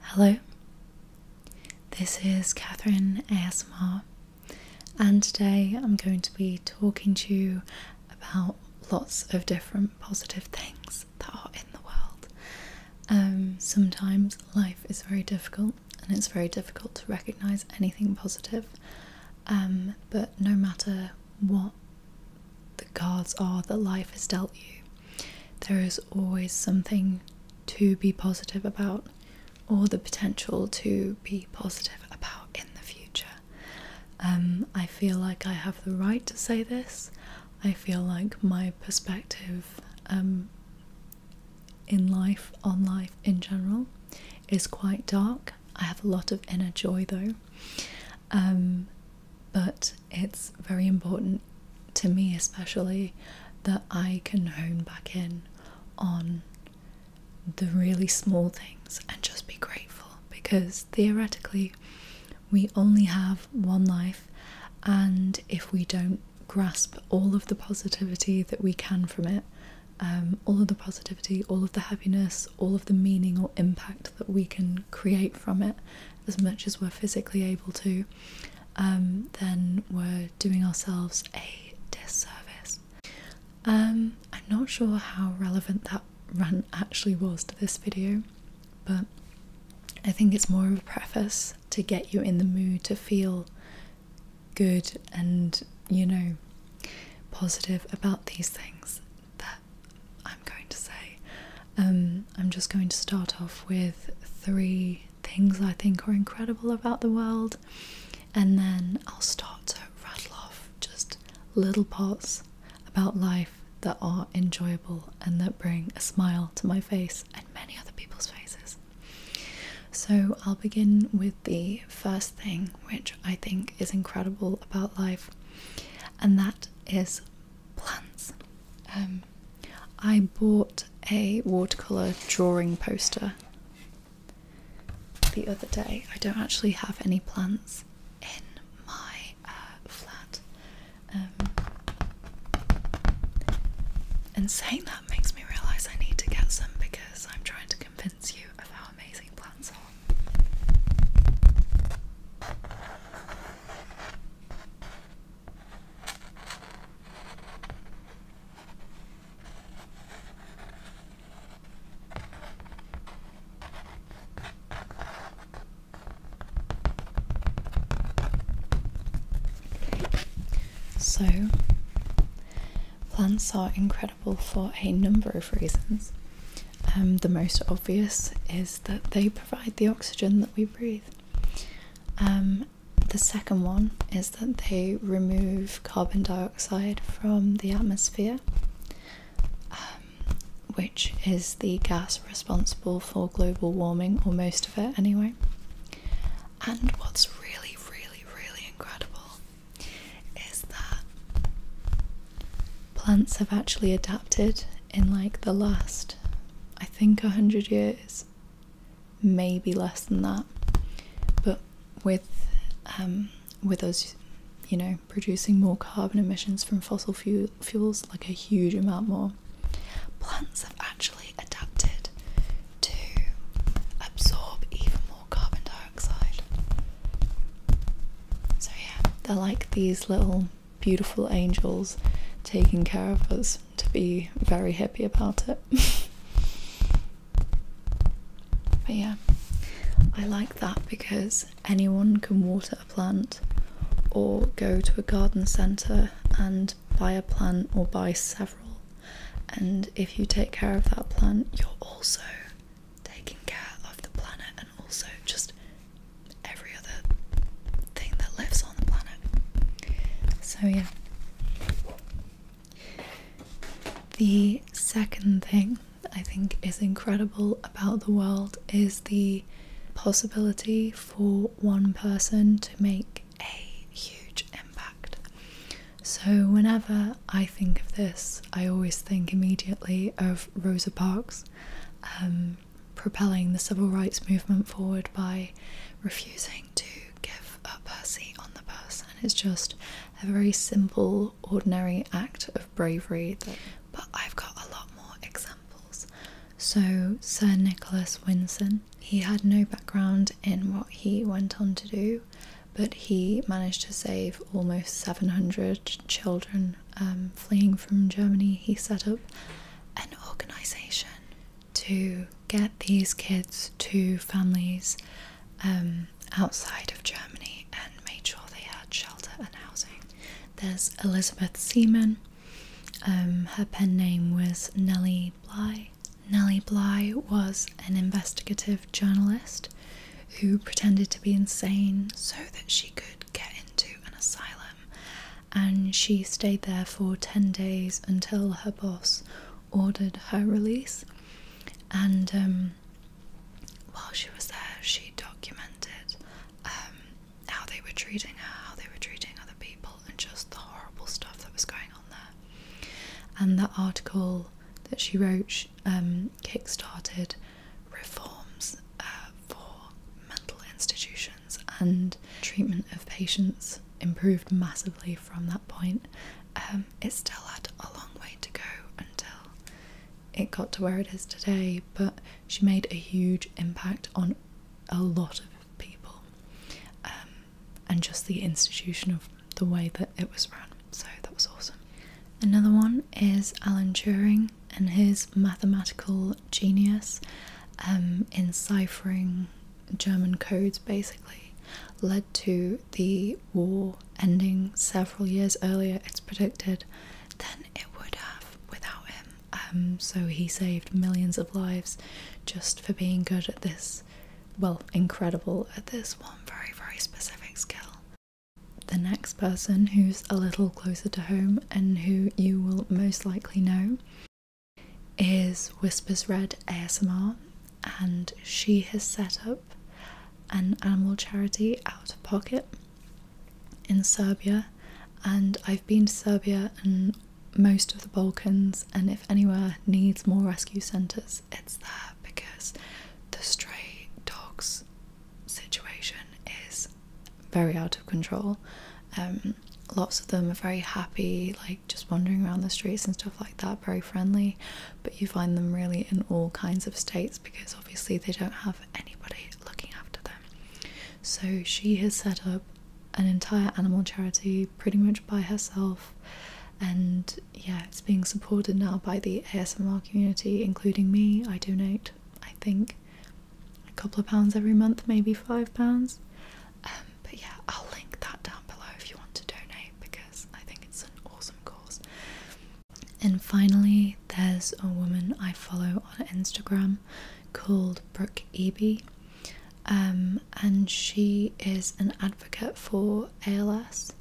Hello, this is Catherine ASMR, and today I'm going to be talking to you about lots of different positive things that are in the world. Um, sometimes life is very difficult, and it's very difficult to recognize anything positive, um, but no matter what the cards are that life has dealt you, there is always something to be positive about or the potential to be positive about in the future. Um, I feel like I have the right to say this. I feel like my perspective um, in life, on life in general, is quite dark. I have a lot of inner joy though. Um, but it's very important to me, especially, that I can hone back in on the really small things and just be grateful because theoretically, we only have one life, and if we don't grasp all of the positivity that we can from it, um, all of the positivity, all of the happiness, all of the meaning or impact that we can create from it, as much as we're physically able to, um, then we're doing ourselves a disservice. Um, I'm not sure how relevant that rant actually was to this video, but I think it's more of a preface to get you in the mood to feel good and, you know, positive about these things. I'm going to say. Um, I'm just going to start off with three things I think are incredible about the world, and then I'll start to rattle off just little parts about life that are enjoyable and that bring a smile to my face and many other people's faces. So, I'll begin with the first thing which I think is incredible about life, and that is plants. Um, I bought a watercolor drawing poster the other day. I don't actually have any plants in my uh, flat. Um, and saying that makes me realize I need to get some because I'm trying to convince you of how amazing plants are. So, plants are incredible for a number of reasons. Um, the most obvious is that they provide the oxygen that we breathe. Um, the second one is that they remove carbon dioxide from the atmosphere, um, which is the gas responsible for global warming, or most of it anyway. And what's really, really, really incredible is that plants have actually adapted in like the last, I think, 100 years, maybe less than that. But with um, with us, you know, producing more carbon emissions from fossil fuel fuels, like a huge amount more, plants have actually adapted to absorb even more carbon dioxide. So yeah, they're like these little beautiful angels taking care of us to be very happy about it. but yeah, I like that because anyone can water a plant or go to a garden centre and buy a plant or buy several. And if you take care of that plant, you're also taking care of the planet and also just every other thing that lives on the planet. So, yeah. The second thing I think is incredible about the world is the possibility for one person to make a huge impact. So, whenever I think of this, I always think immediately of Rosa Parks. Um, propelling the civil rights movement forward by refusing to give up a seat on the bus. And it's just a very simple, ordinary act of bravery. but I've got a lot more examples. So, Sir Nicholas Winson, he had no background in what he went on to do. But he managed to save almost 700 children um, fleeing from Germany, he set up an organization to get these kids to families um, outside of Germany and made sure they had shelter and housing. There's Elizabeth Seaman. Um, her pen name was Nellie Bly. Nellie Bly was an investigative journalist who pretended to be insane so that she could get into an asylum. And she stayed there for 10 days until her boss ordered her release. And um, while she was there, she documented um, how they were treating her, how they were treating other people, and just the horrible stuff that was going on there. And that article that she wrote um, kickstarted reforms uh, for mental institutions and treatment of patients improved massively from that point. Um, it still had a long way to go until it got to where it is today, but she made a huge impact on a lot of people um, and just the institution of the way that it was run. So that was awesome. Another one is Alan Turing and his mathematical genius um, in ciphering German codes basically led to the war ending several years earlier, it's predicted, than it would have without him. Um, so he saved millions of lives just for being good at this, well, incredible at this one very, very specific skill. The next person who's a little closer to home and who you will most likely know is Whispers Red ASMR, and she has set up an animal charity out of pocket in Serbia. And I've been to Serbia and most of the Balkans, and if anywhere needs more rescue centres, it's there because the stray dogs situation is very out of control. Um, lots of them are very happy, like just wandering around the streets and stuff like that, very friendly. But you find them really in all kinds of states because obviously they don't have anybody looking after them. So she has set up an entire animal charity pretty much by herself and yeah, it's being supported now by the ASMR community, including me. I donate, I think, a couple of pounds every month, maybe five pounds. Um, but yeah, I'll link that down below if you want to donate because I think it's an awesome cause. And finally, there's a woman I follow on Instagram called Brooke Eby. Um, and she is an advocate for ALS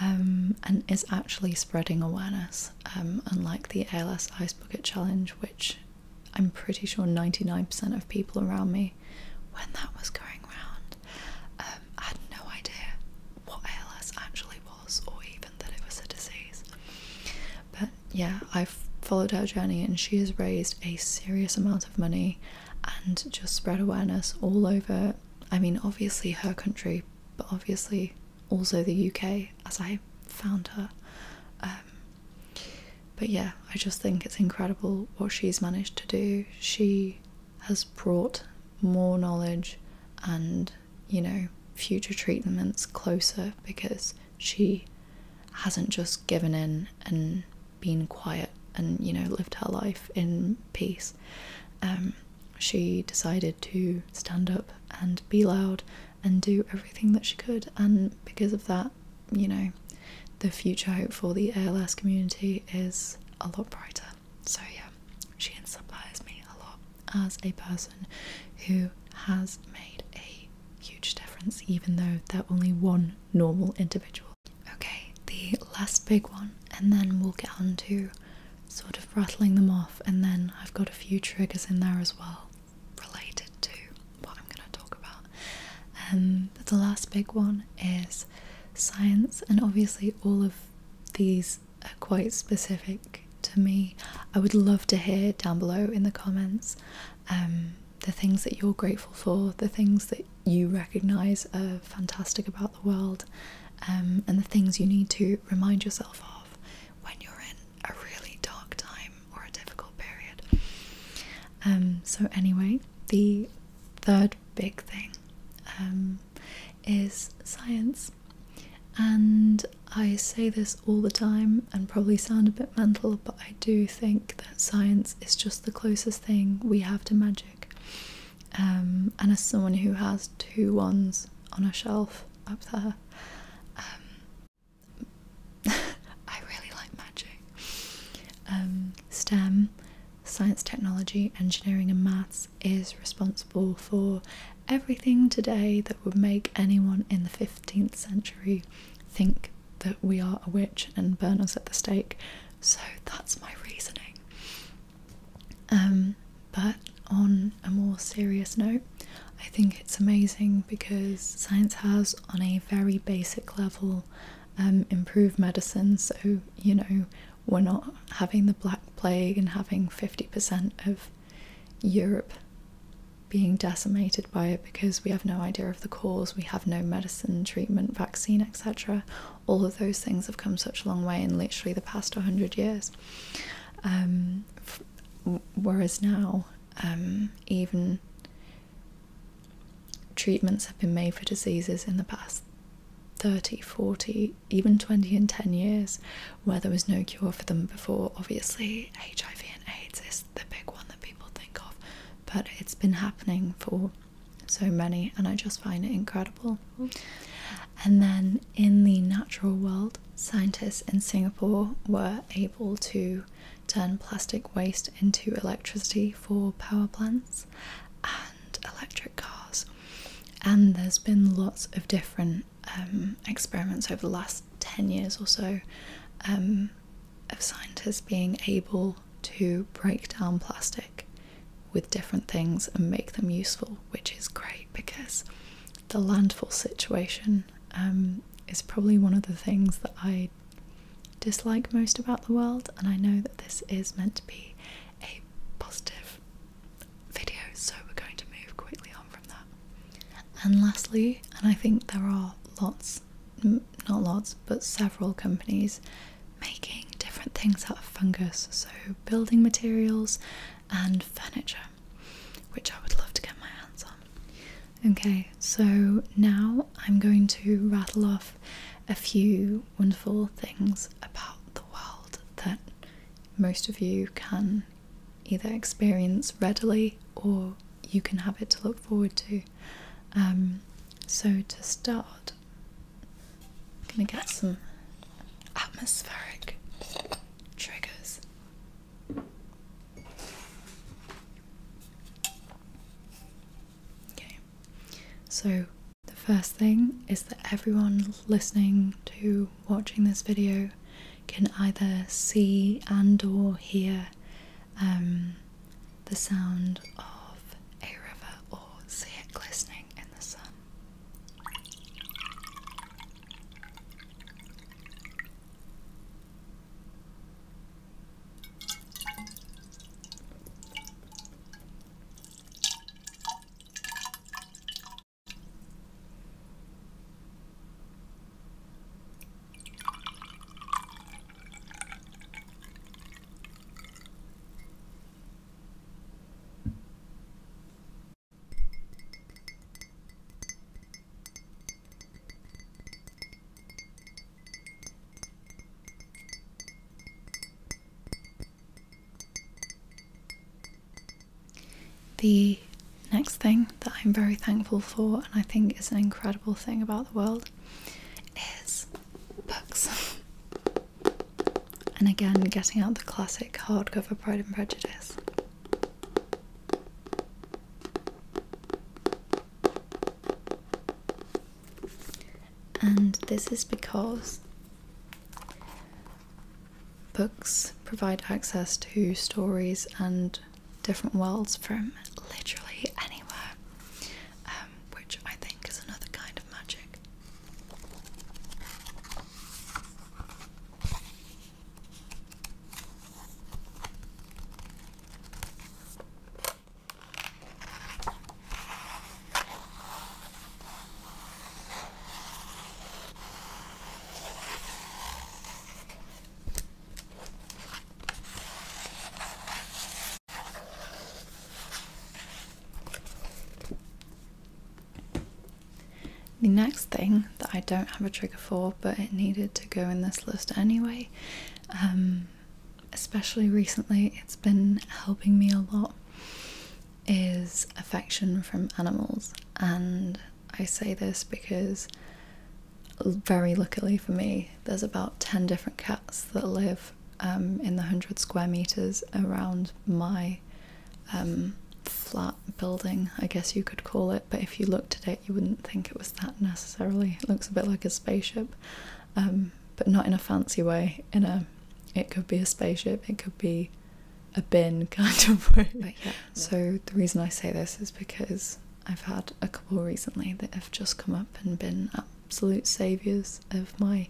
um, and is actually spreading awareness, um, unlike the ALS Ice Bucket Challenge, which I'm pretty sure 99% of people around me, when that was going round, um, had no idea what ALS actually was or even that it was a disease. But yeah, I've followed her journey and she has raised a serious amount of money and just spread awareness all over. I mean, obviously, her country but obviously also the UK as I found her. Um, but yeah, I just think it's incredible what she's managed to do. She has brought more knowledge and, you know, future treatments closer because she hasn't just given in and been quiet and, you know, lived her life in peace. Um, she decided to stand up and be loud and do everything that she could. And because of that, you know, the future for the ALS community is a lot brighter. So, yeah, she inspires me a lot as a person who has made a huge difference, even though they're only one normal individual. Okay, the last big one, and then we'll get on to sort of rattling them off, and then I've got a few triggers in there as well related to what I'm going to talk about. Um, the last big one is science, and obviously, all of these are quite specific to me. I would love to hear down below in the comments um, the things that you're grateful for, the things that you recognize are fantastic about the world um, and the things you need to remind yourself of when you're in a really dark time or a difficult period. Um, so, anyway, the third big thing um, is science. And I say this all the time and probably sound a bit mental, but I do think that science is just the closest thing we have to magic. Um, and as someone who has two ones on a shelf up there, um, I really like magic. Um, STEM, science, technology, engineering, and maths, is responsible for everything today that would make anyone in the 15th century think that we are a witch and burn us at the stake. So that's my reasoning. Um, but on a more serious note, I think it's amazing because science has, on a very basic level, um, improved medicine. So, you know, we're not having the Black Plague and having 50% of Europe being decimated by it because we have no idea of the cause, we have no medicine, treatment, vaccine, etc all of those things have come such a long way in literally the past 100 years. Um, whereas now, um, even treatments have been made for diseases in the past 30, 40, even 20 and 10 years where there was no cure for them before. Obviously, HIV and AIDS is the big one that people think of, but it's been happening for so many, and I just find it incredible. Mm-hmm. And then in the natural world, scientists in Singapore were able to turn plastic waste into electricity for power plants and electric cars. And there's been lots of different um, experiments over the last 10 years or so um, of scientists being able to break down plastic with different things and make them useful, which is great because the landfill situation um, is probably one of the things that I dislike most about the world. And I know that this is meant to be a positive video, so we're going to move quickly on from that. And lastly, and I think there are lots, not lots, but several companies making different things out of fungus, so building materials and furniture, which I would love to get my hands on. Okay, so now I'm going to rattle off a few wonderful things about the world that most of you can either experience readily or you can have it to look forward to. Um, so, to start, I'm gonna get some atmospheric triggers. Okay, so the first thing is that everyone listening to watching this video can either see and or hear um, the sound of a river or see it glistening in the sun. The next thing that I'm very thankful for, and I think is an incredible thing about the world, is books. and again, getting out the classic hardcover Pride and Prejudice. And this is because books provide access to stories and different worlds from literally anywhere. Um, which I think is another kind of magic. The next thing that I don't have a trigger for, but it needed to go in this list anyway, um, especially recently, it's been helping me a lot, is affection from animals. And I say this because, very luckily for me, there's about 10 different cats that live um, in the 100 square meters around my um, flat building, I guess you could call it. But if you looked at it, you wouldn't think it was that necessarily. It looks a bit like a spaceship, um, but not in a fancy way. In a, it could be a spaceship. It could be a bin kind of So the reason I say this is because I've had a couple recently that have just come up and been up absolute saviors of my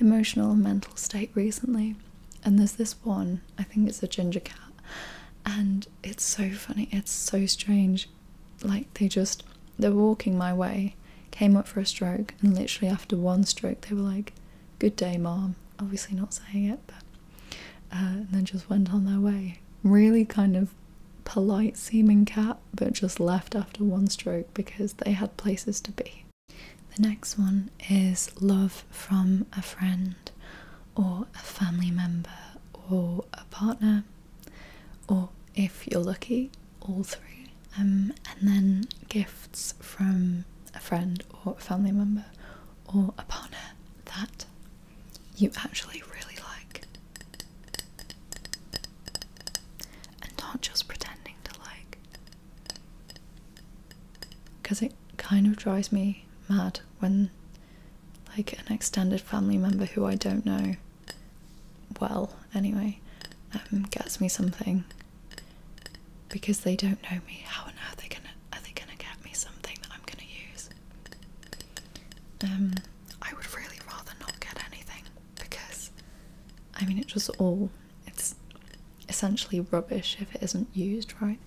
emotional and mental state recently. And there's this one, I think it's a ginger cat, and it's so funny, it's so strange. Like, they just, they're walking my way, came up for a stroke, and literally after one stroke, they were like, Good day, mom. Obviously, not saying it, but, uh, and then just went on their way. Really kind of polite seeming cat but just left after one stroke because they had places to be. The next one is love from a friend or a family member or a partner, or if you're lucky, all three. Um, and then gifts from a friend or a family member or a partner that you actually really like and not just pretending to like because it kind of drives me mad when like an extended family member who I don't know well anyway um, gets me something because they don't know me how on earth are they gonna are they gonna get me something that I'm gonna use um I would really rather not get anything because I mean it's just all it's essentially rubbish if it isn't used, right?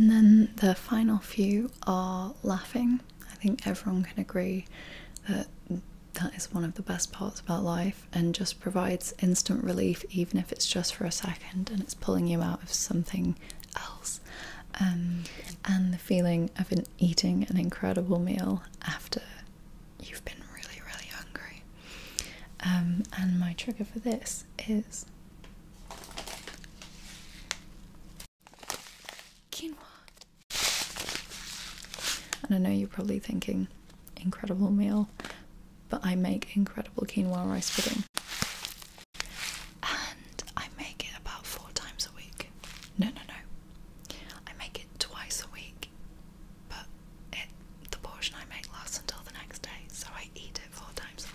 And then the final few are laughing. I think everyone can agree that that is one of the best parts about life and just provides instant relief, even if it's just for a second and it's pulling you out of something else. Um, and the feeling of eating an incredible meal after you've been really, really hungry. Um, and my trigger for this is quinoa. And I know you're probably thinking, incredible meal, but I make incredible quinoa rice pudding and I make it about four times a week. No, no, no. I make it twice a week, but it, the portion I make lasts until the next day, so I eat it four times a week.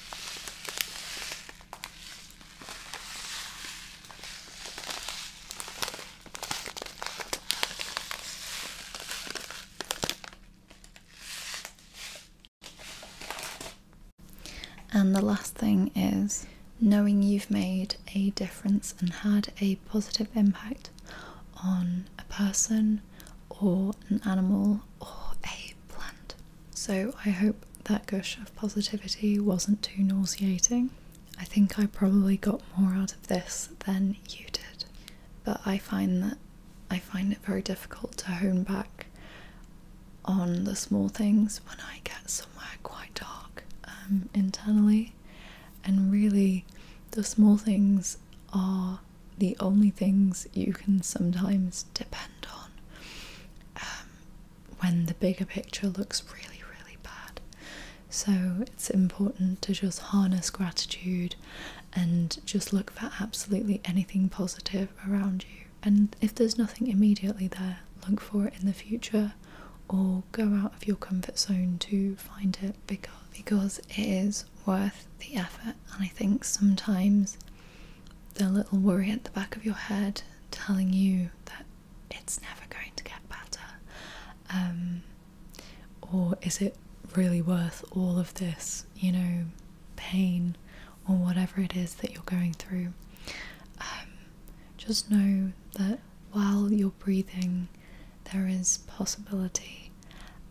And the last thing is knowing you've made a difference and had a positive impact on a person or an animal or a planned. So I hope that gush of positivity wasn't too nauseating. I think I probably got more out of this than you did, but I find that I find it very difficult to hone back on the small things when I get somewhere quite dark um, internally, and really the small things are the only things you can sometimes depend on um, when the bigger picture looks really, really bad. So it's important to just harness gratitude and just look for absolutely anything positive around you. And if there's nothing immediately there, look for it in the future or go out of your comfort zone to find it because, because because it is worth the effort. And I think sometimes the little worry at the back of your head telling you that it's never going to get better, um, or is it really worth all of this, you know, pain or whatever it is that you're going through? Um, just know that while you're breathing, there is possibility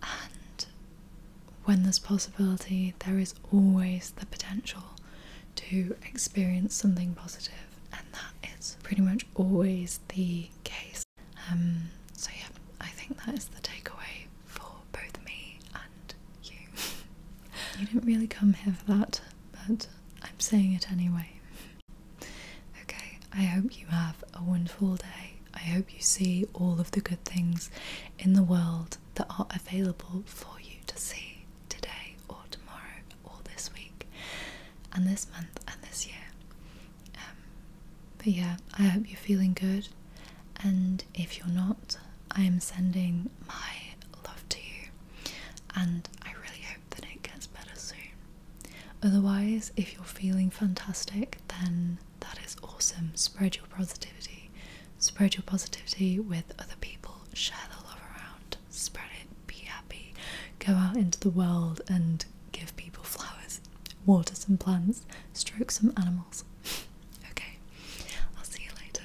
and when there's possibility, there is always the potential to experience something positive, and that is pretty much always the case. Um, so, yeah, I think that is the takeaway for both me and you. you didn't really come here for that, but I'm saying it anyway. Okay, I hope you have a wonderful day. I hope you see all of the good things in the world that are available for you to see today or tomorrow or this week and this month and this year. Um, but yeah, I hope you're feeling good. And if you're not, I am sending my love to you. And I really hope that it gets better soon. Otherwise, if you're feeling fantastic, then that is awesome. Spread your positivity. Spread your positivity with other people. Share the love around. Spread it. Be happy. Go out into the world and give people flowers, water some plants, stroke some animals. okay, I'll see you later.